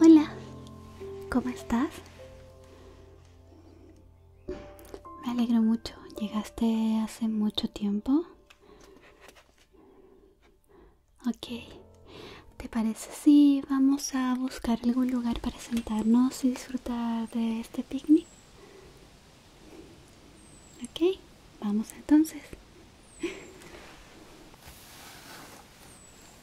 Hola, ¿cómo estás? Me alegro mucho. ¿Llegaste hace mucho tiempo? Ok. ¿Te parece si vamos a buscar algún lugar para sentarnos y disfrutar de este picnic? Ok, vamos entonces.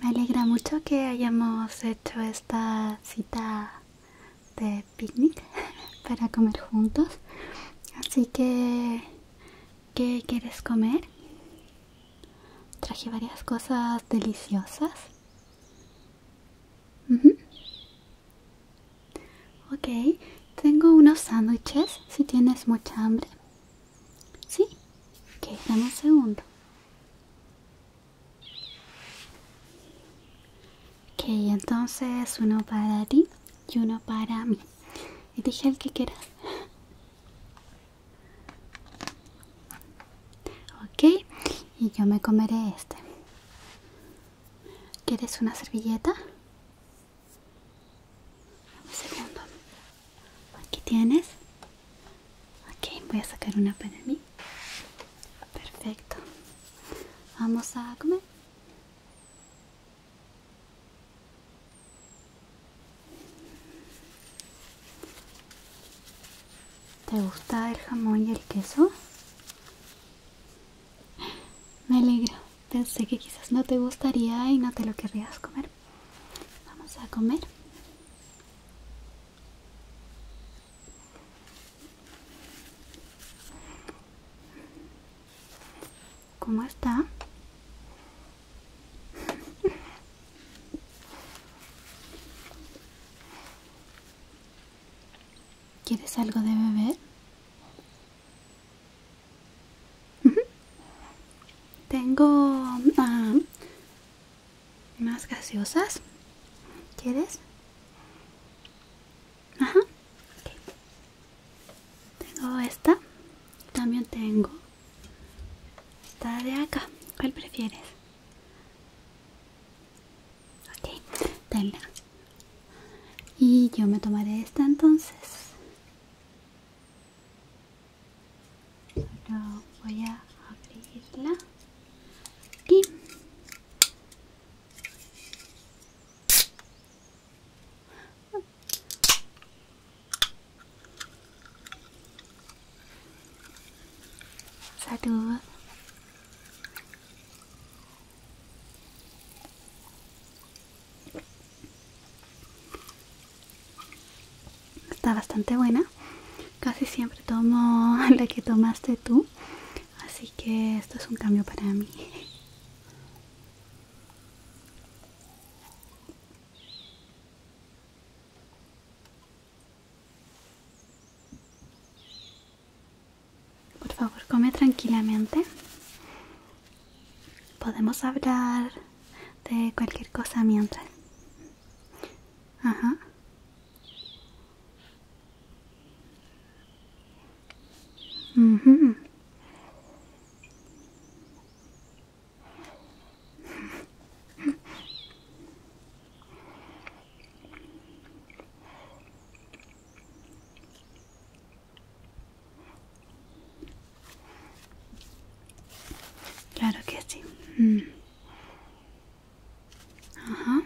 Me alegra mucho que hayamos hecho esta cita de picnic para comer juntos. Así que, ¿qué quieres comer? Traje varias cosas deliciosas. Ok, tengo unos sándwiches si tienes mucha hambre. ¿Sí? Ok, dame un segundo. Ok, entonces uno para ti y uno para mí. Y dije el que quieras. Ok, y yo me comeré este. ¿Quieres una servilleta? Un segundo. Aquí tienes. Aquí voy a sacar una para mí. Perfecto. Vamos a comer. ¿Te gusta el jamón y el queso? Me alegro pensé que quizás no te gustaría y no te lo querrías comer. Vamos a comer. ¿Cómo está? ¿Quieres algo de beber? Tengo ah, más gaseosas. ¿Quieres? Ajá. Tengo esta. También tengo esta de acá. ¿Cuál prefieres? Ok, dale. Y yo me tomaré esta entonces. voy a abrirla. Aquí. Está bastante buena. Casi siempre tomo la que tomaste tú. Así que esto es un cambio para mí. Por favor, come tranquilamente. Podemos hablar de cualquier cosa mientras. Ajá. Claro que sí. Mm. Ajá.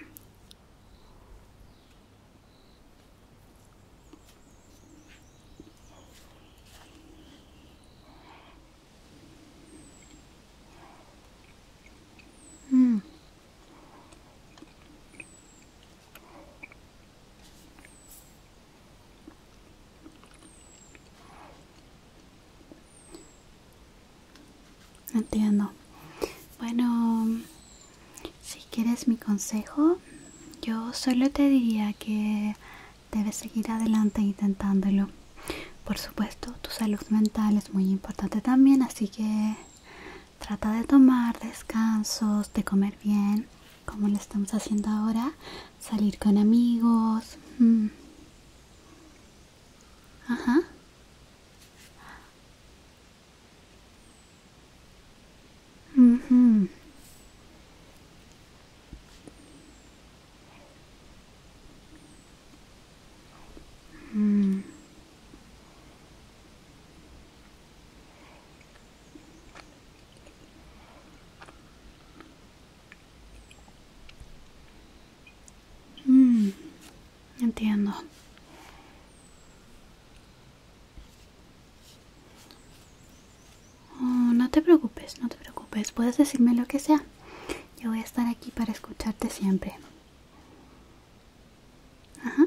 Mm. Entiendo. Bueno, si quieres mi consejo, yo solo te diría que debes seguir adelante intentándolo. Por supuesto, tu salud mental es muy importante también, así que Trata de tomar descansos, de comer bien, como lo estamos haciendo ahora, salir con amigos. Mm. Ajá. Mm, entiendo. Oh, no te preocupes, no te preocupes. Puedes decirme lo que sea. Yo voy a estar aquí para escucharte siempre. Ajá.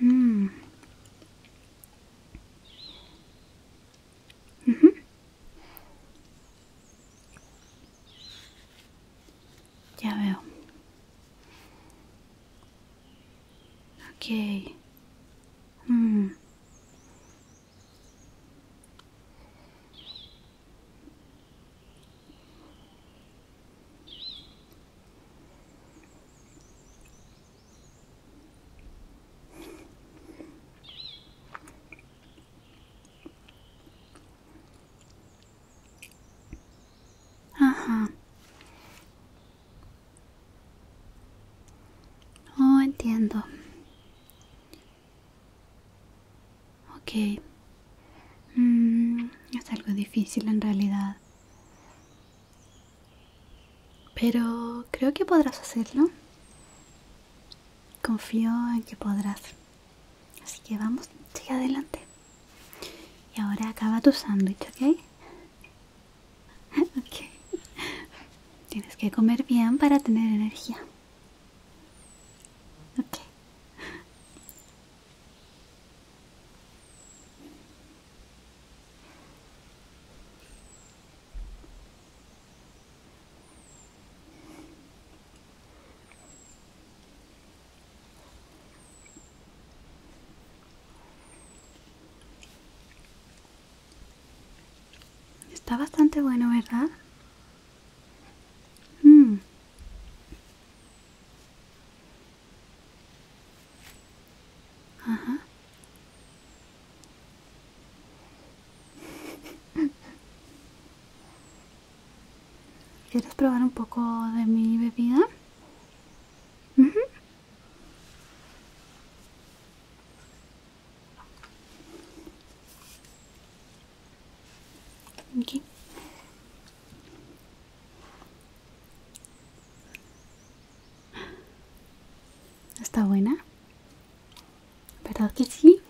Mm. Mhm. Ya veo. Ok. Mm. Ajá. Oh, entiendo. Ok. Mm, es algo difícil en realidad. Pero creo que podrás hacerlo. Confío en que podrás. Así que vamos, sigue adelante. Y ahora acaba tu sándwich, ¿ok? ok. Tienes que comer bien para tener energía. Okay. Está bastante bueno, ¿verdad? Hmm. Ajá. ¿Quieres probar un poco de mi bebida? ¿Está buena? ¿Verdad que sí?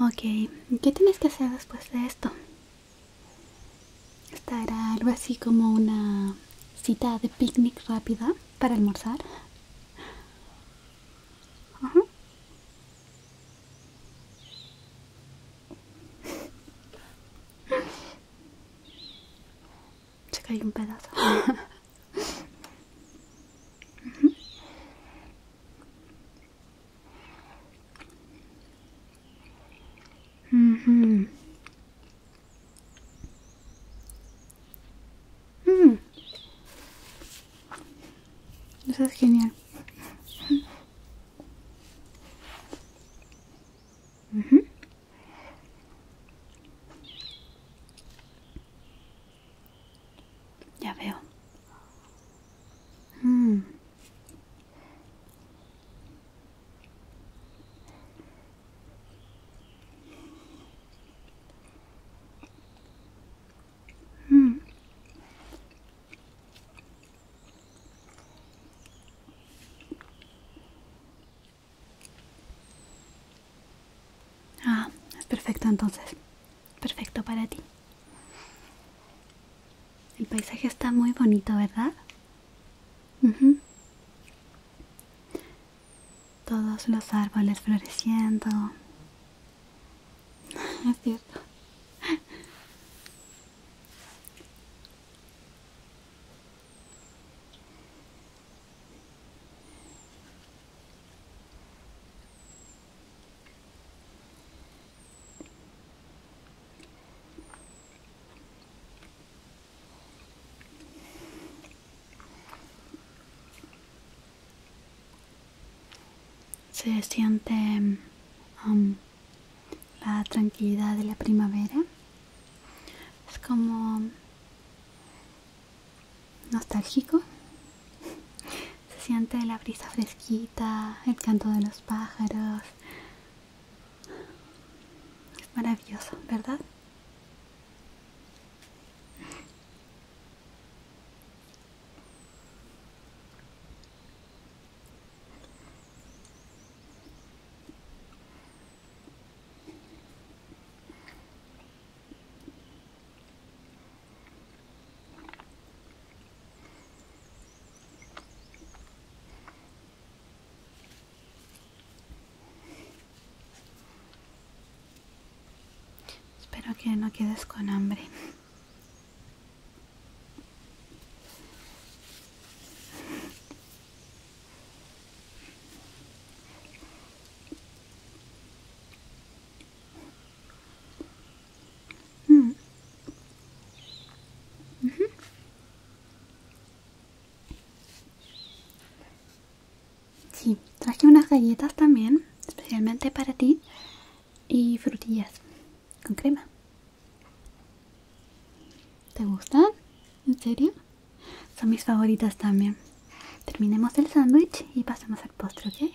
Ok, ¿qué tienes que hacer después de esto? era algo así como una cita de picnic rápida para almorzar? un pedazo. mhm mhm mhm Eso es genial. mhm ya veo. Hmm. Hmm. Ah, es perfecto entonces. Perfecto para ti. El paisaje está muy bonito, ¿verdad? Todos los árboles floreciendo. es cierto se siente um, la tranquilidad de la primavera. Es como nostálgico. Se siente la brisa fresquita, el canto de los pájaros. Es maravilloso, ¿verdad? Espero que no quedes con hambre. Mm. Sí, traje unas galletas también, especialmente para ti, y frutillas con crema. ¿Te gustan? ¿En serio? Son mis favoritas también. Terminemos el sándwich y pasamos al postre, ¿ok?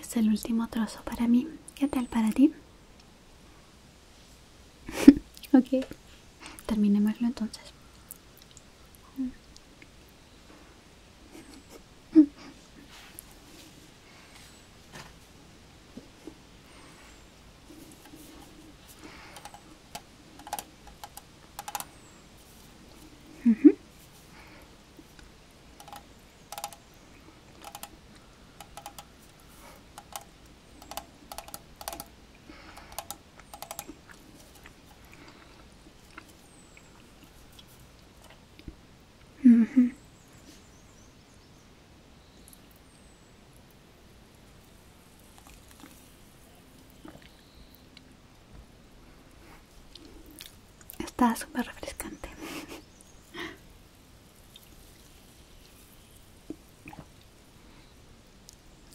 Es el último trozo para mí. ¿Qué tal para ti? ok, terminémoslo entonces. Está súper refrescante.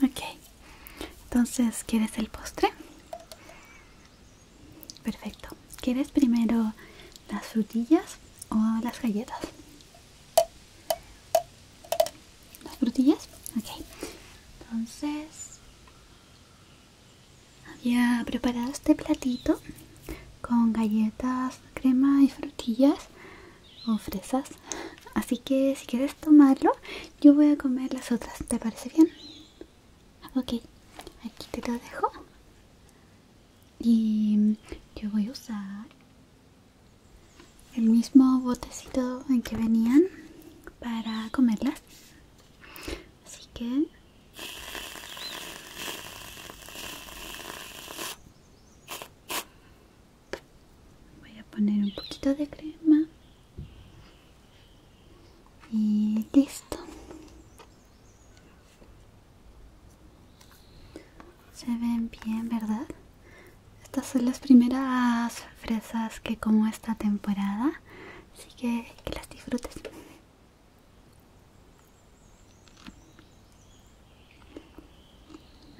Ok, entonces, ¿quieres el postre? Perfecto. ¿Quieres primero las frutillas o las galletas? ¿Las frutillas? Ok. Entonces, había preparado este platito con galletas, crema y frutillas o fresas así que si quieres tomarlo yo voy a comer las otras te parece bien ok aquí te lo dejo y yo voy a usar el mismo botecito en que venían para comerlas así que voy a poner un poquito de crema y listo se ven bien verdad estas son las primeras fresas que como esta temporada así que que las disfrutes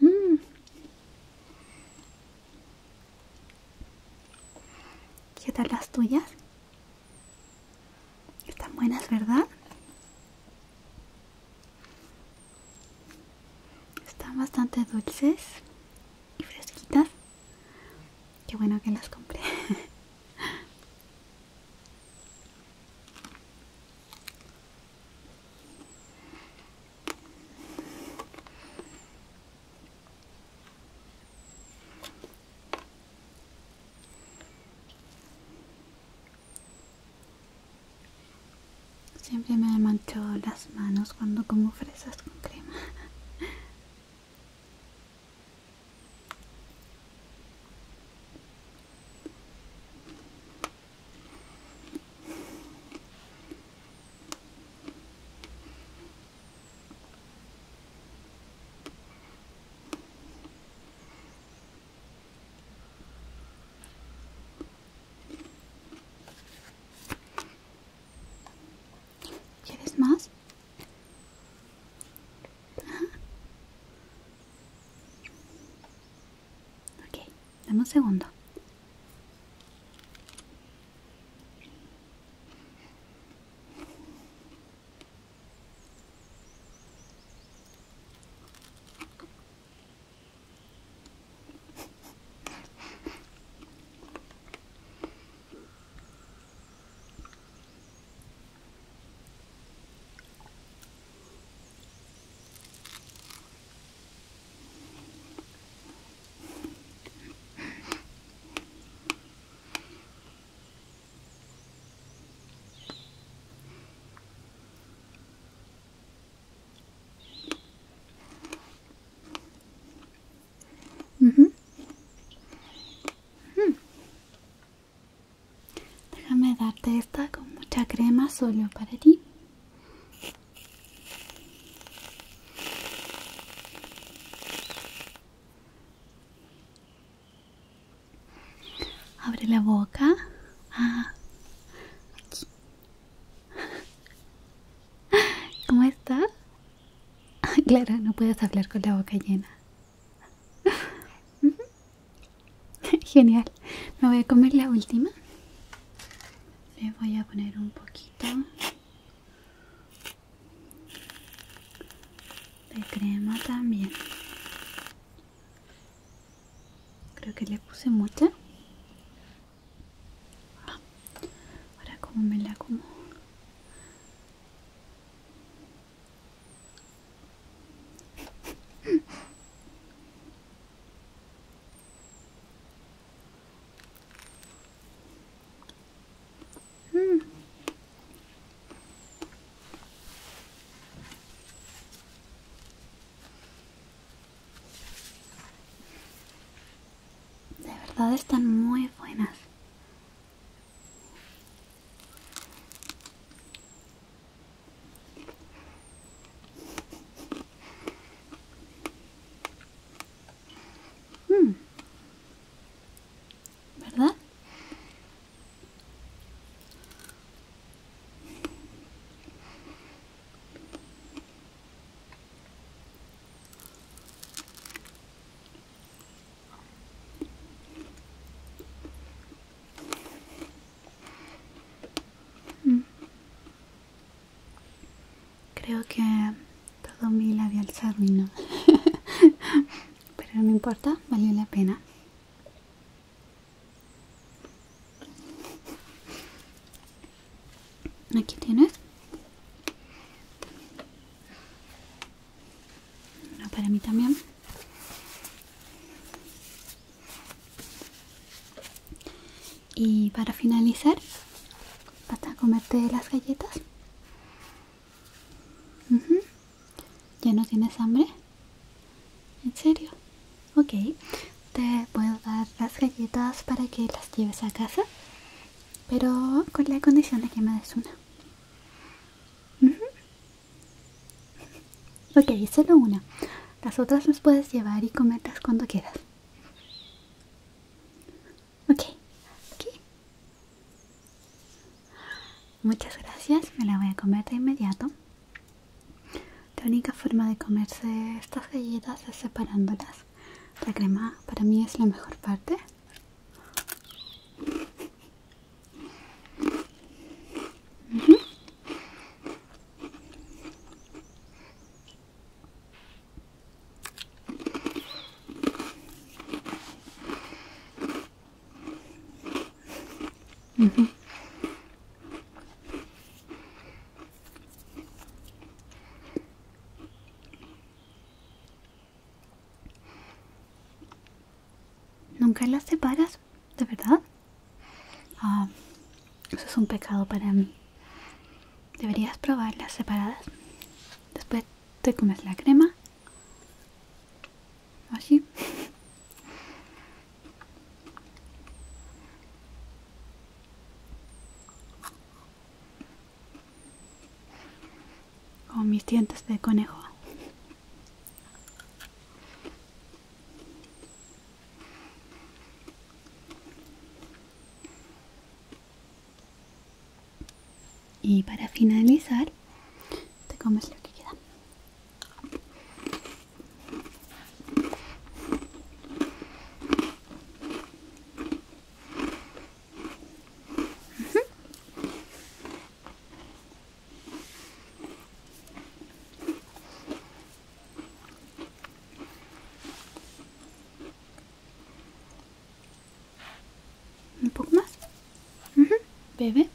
Mm. ¿Qué tal las tuyas? Están buenas, ¿verdad? Están bastante dulces y fresquitas. Qué bueno que las compré. Siempre me mancho las manos cuando como fresas con crema. ¿Quieres más? Ok, dame un segundo. Mhm. Déjame darte esta con mucha crema solo para ti. Abre la boca. Ah. ¿Cómo está? Ah, claro, no puedes hablar con la boca llena. Genial. Me voy a comer la última le voy a poner un poquito de crema también creo que le puse mucha ahora como me la como de verdad están muy buenas. Mm. ¿Verdad? Creo que todo mi labial se arruinó. Pero no importa, valió la pena. Aquí tienes. para mí también. Y para finalizar, vas a comerte las galletas. ¿Ya no tienes hambre? ¿En serio? Ok, te puedo dar las galletas para que las lleves a casa, pero con la condición de que me des una. Ok, solo una. Las otras las puedes llevar y cometas cuando quieras. Ok, Muchas gracias, me la voy a comer de inmediato. La única forma de comerse estas galletas es separándolas. La crema para mí es la mejor parte. ¿Nunca las separas? ¿De verdad? Ah, eso es un pecado para mí. Deberías probarlas separadas. Después te comes la crema. Así. Con mis dientes de conejo. Y para finalizar, te comes lo que queda. Un poco más. Bebe.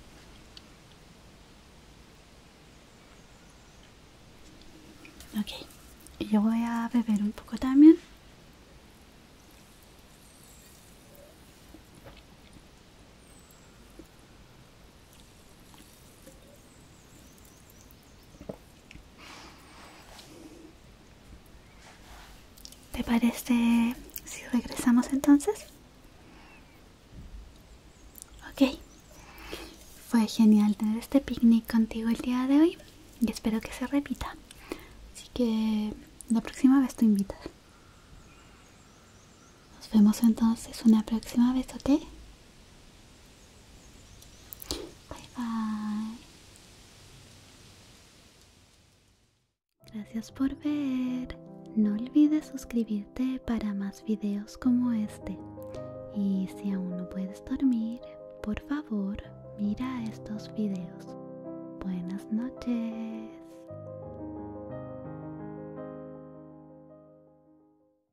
Ok. yo voy a beber un poco también. ¿Te parece si regresamos entonces? Ok. Fue genial tener este picnic contigo el día de hoy y espero que se repita. Así que la próxima vez tú invitas. Nos vemos entonces una próxima vez, ¿ok? Bye bye. Gracias por ver. No olvides suscribirte para más videos como este. Y si aún no puedes dormir, por favor, mira estos videos. Buenas noches.